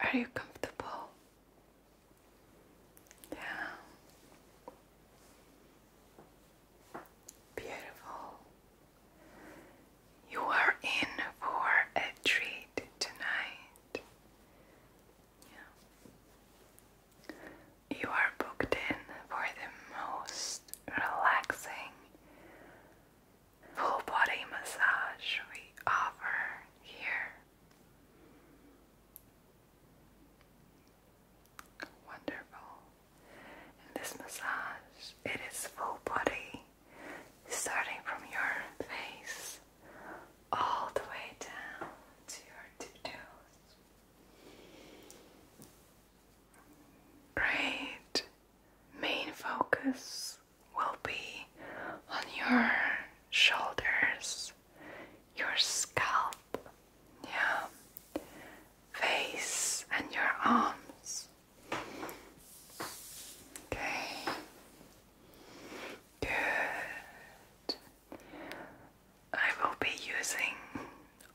Are you comfortable? Yeah. Beautiful. You are in for a treat tonight. Yeah. You are booked in for the most relaxing full body massage we offer here. Wonderful. this massage, it is full body, starting from your face all the way down to your two toes. Great. Main focus will be on your shoulders, your scalp, yeah, face, and your arms. Okay, good. I will be using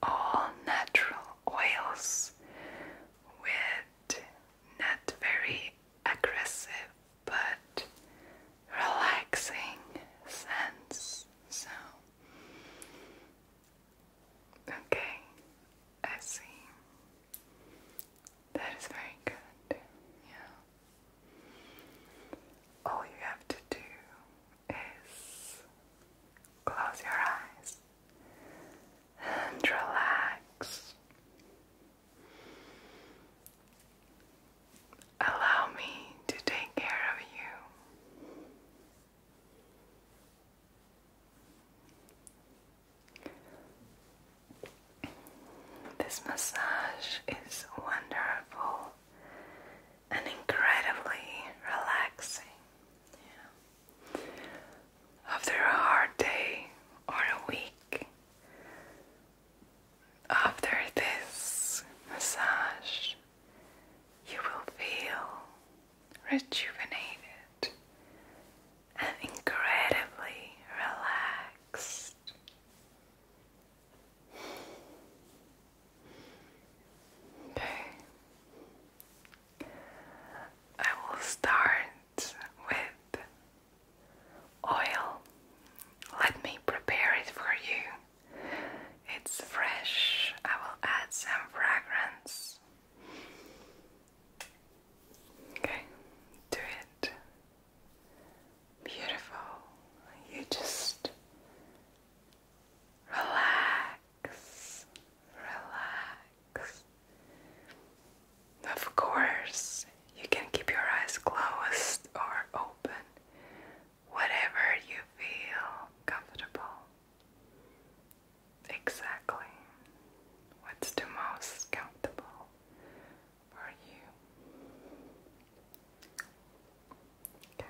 all natural oils with not very aggressive but relaxing sense. So, okay, I see. That is very good. Yeah. All you have to do is close your eyes and relax. Allow me to take care of you. This massage is wonderful and incredibly relaxing. After a hard day or a week, after this massage, you will feel rejuvenated and incredibly relaxed. Okay. I will start it with oil. Let me prepare it for you. It's fresh. I will add some fragrance. Okay, do it. Beautiful. You just relax, relax. Of course, you can keep your eyes closed or open, whatever you feel comfortable. Exactly. What's the most comfortable for you? Okay.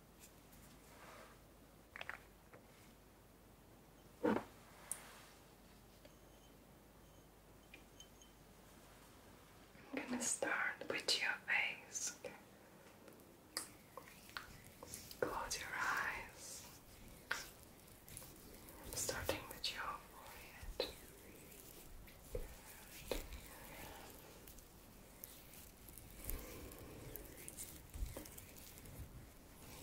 I'm gonna start with your face, Close your eyes. starting with your forehead. Close your eyes. Yeah.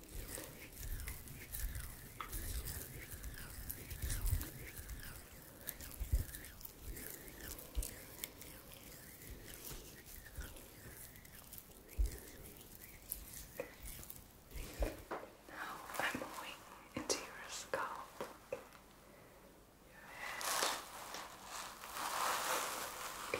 Now I'm moving into your scalp, your head. Your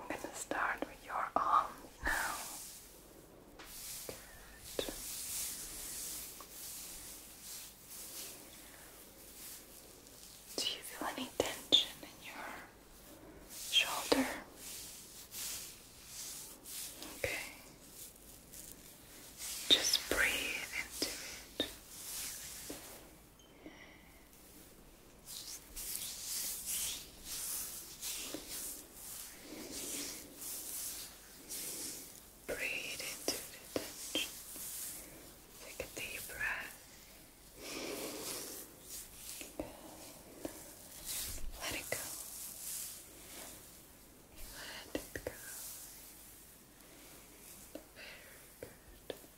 I'm gonna start with your arm now. Do you feel any tension in your shoulder? Okay. Just breathe into it. Breathe into the tension. Take a deep breath. Let it go. Let it go. Very good.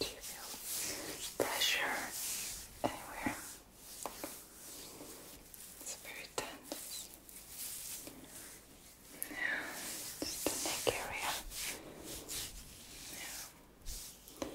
Do you feel pressure anywhere? It's very tense. Yeah, just the neck area. Yeah.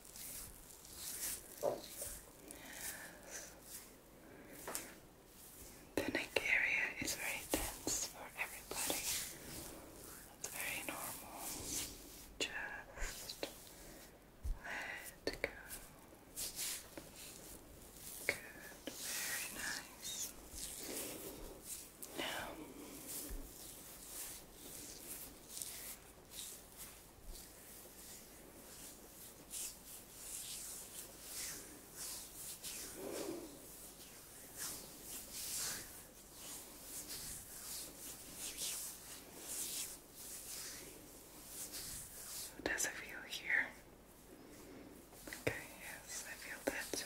The neck area is very tense for everybody. That's very normal. Just let go. Good, very nice. Now, how does it feel here? Okay, yes, I feel that too.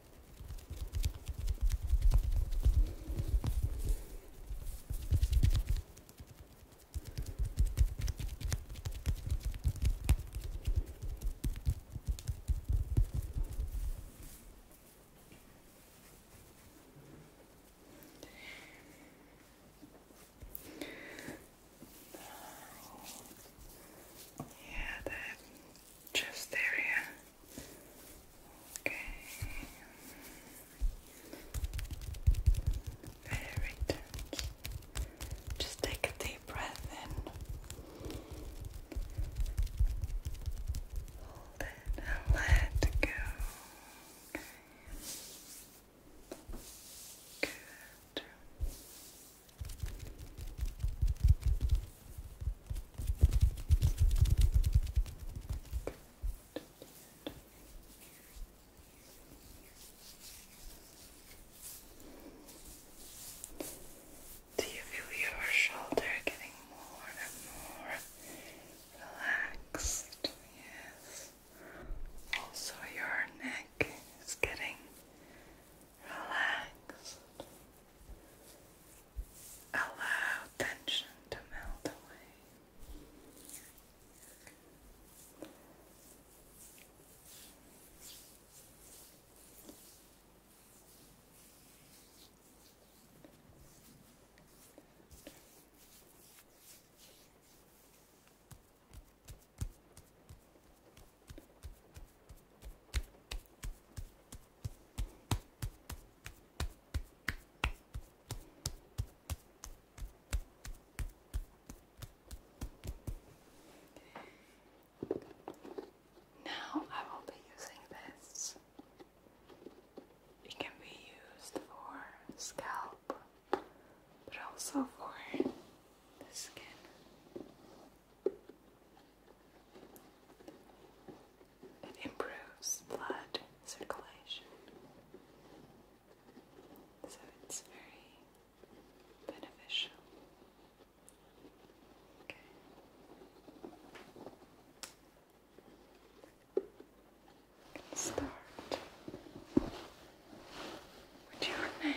Yeah, that chest area. Okay. Very tense. Just take a deep breath in. Hold it let go. Okay. Good. Do you feel your shoulder getting more and more relaxed? Yes. Also, your neck is getting relaxed. Allow tension to melt away. Now I will be using this. It can be used for scalp, but also for the skin. It improves blood circulation. So it's very beneficial. Okay. Start with your neck.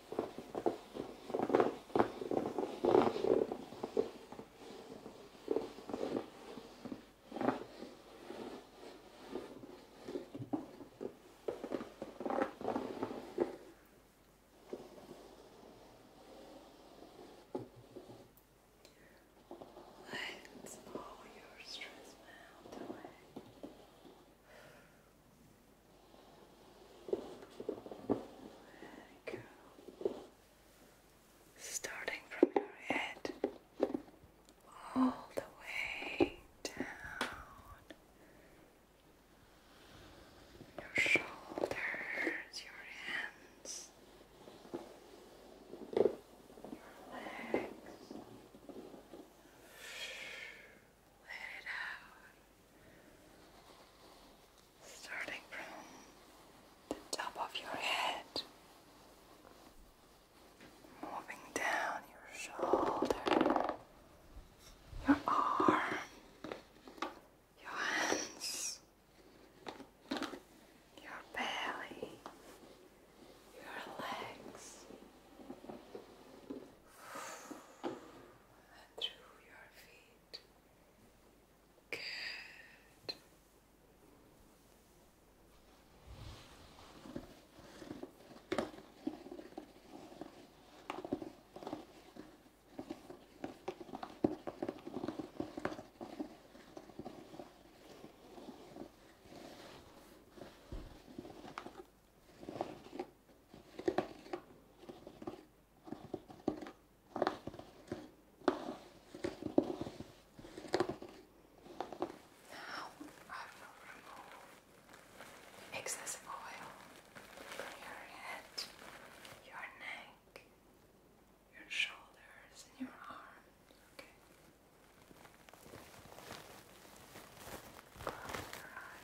Let all your stress melt away. Starting from your head all the way down your shoulders, your hands, your legs let it out. Starting from the top of your head, moving down your shoulder, your arm, your hands, your belly, your legs through your feet. Good. Now I will remove excess oil from your head, your neck, your shoulders, and your arms. Okay. Close your eyes.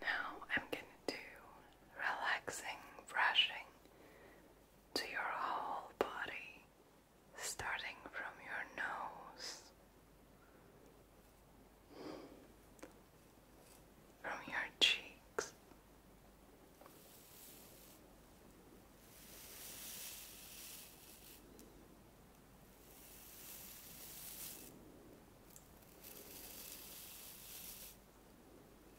Now I'm going to do relaxing brushing to your whole body starting from your nose, from your cheeks.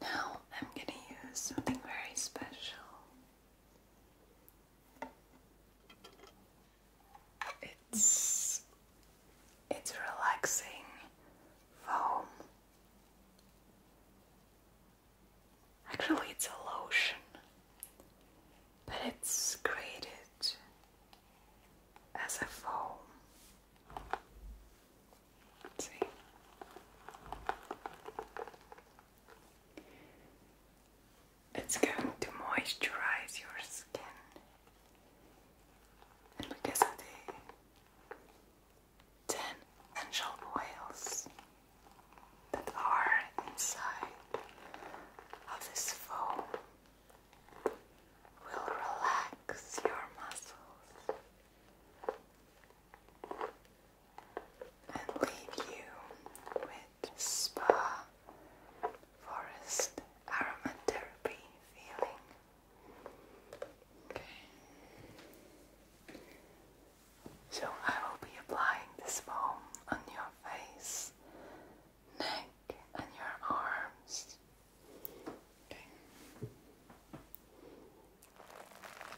Now I'm going to use something very special. It's it's relaxing foam. Actually, it's a lotion, but it's created as a foam. see. It's going to moisturize your skin. And because of the ten angel oils that are inside of this foam, will relax your muscles and leave you with spa forest aromatherapy feeling. So I will be applying this foam on your face, neck, and your arms.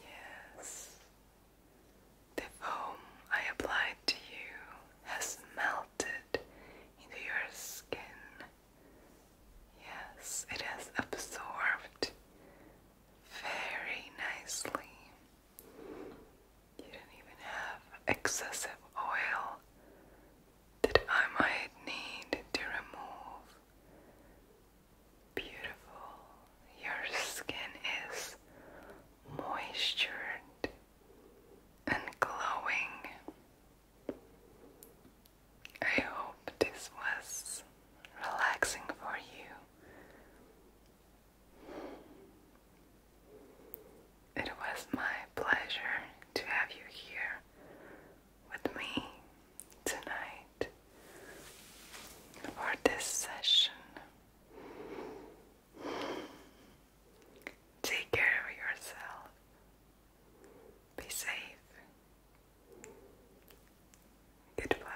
Yes, the foam I applied to you has melted into your skin. Yes, it has absorbed very nicely. You don't even have excessive oil that I might need to remove. Beautiful, your skin is moisturized and glowing. I hope this was relaxing for you. It was my pleasure to have you here with me tonight for this session. Take care of yourself. Be safe. Goodbye.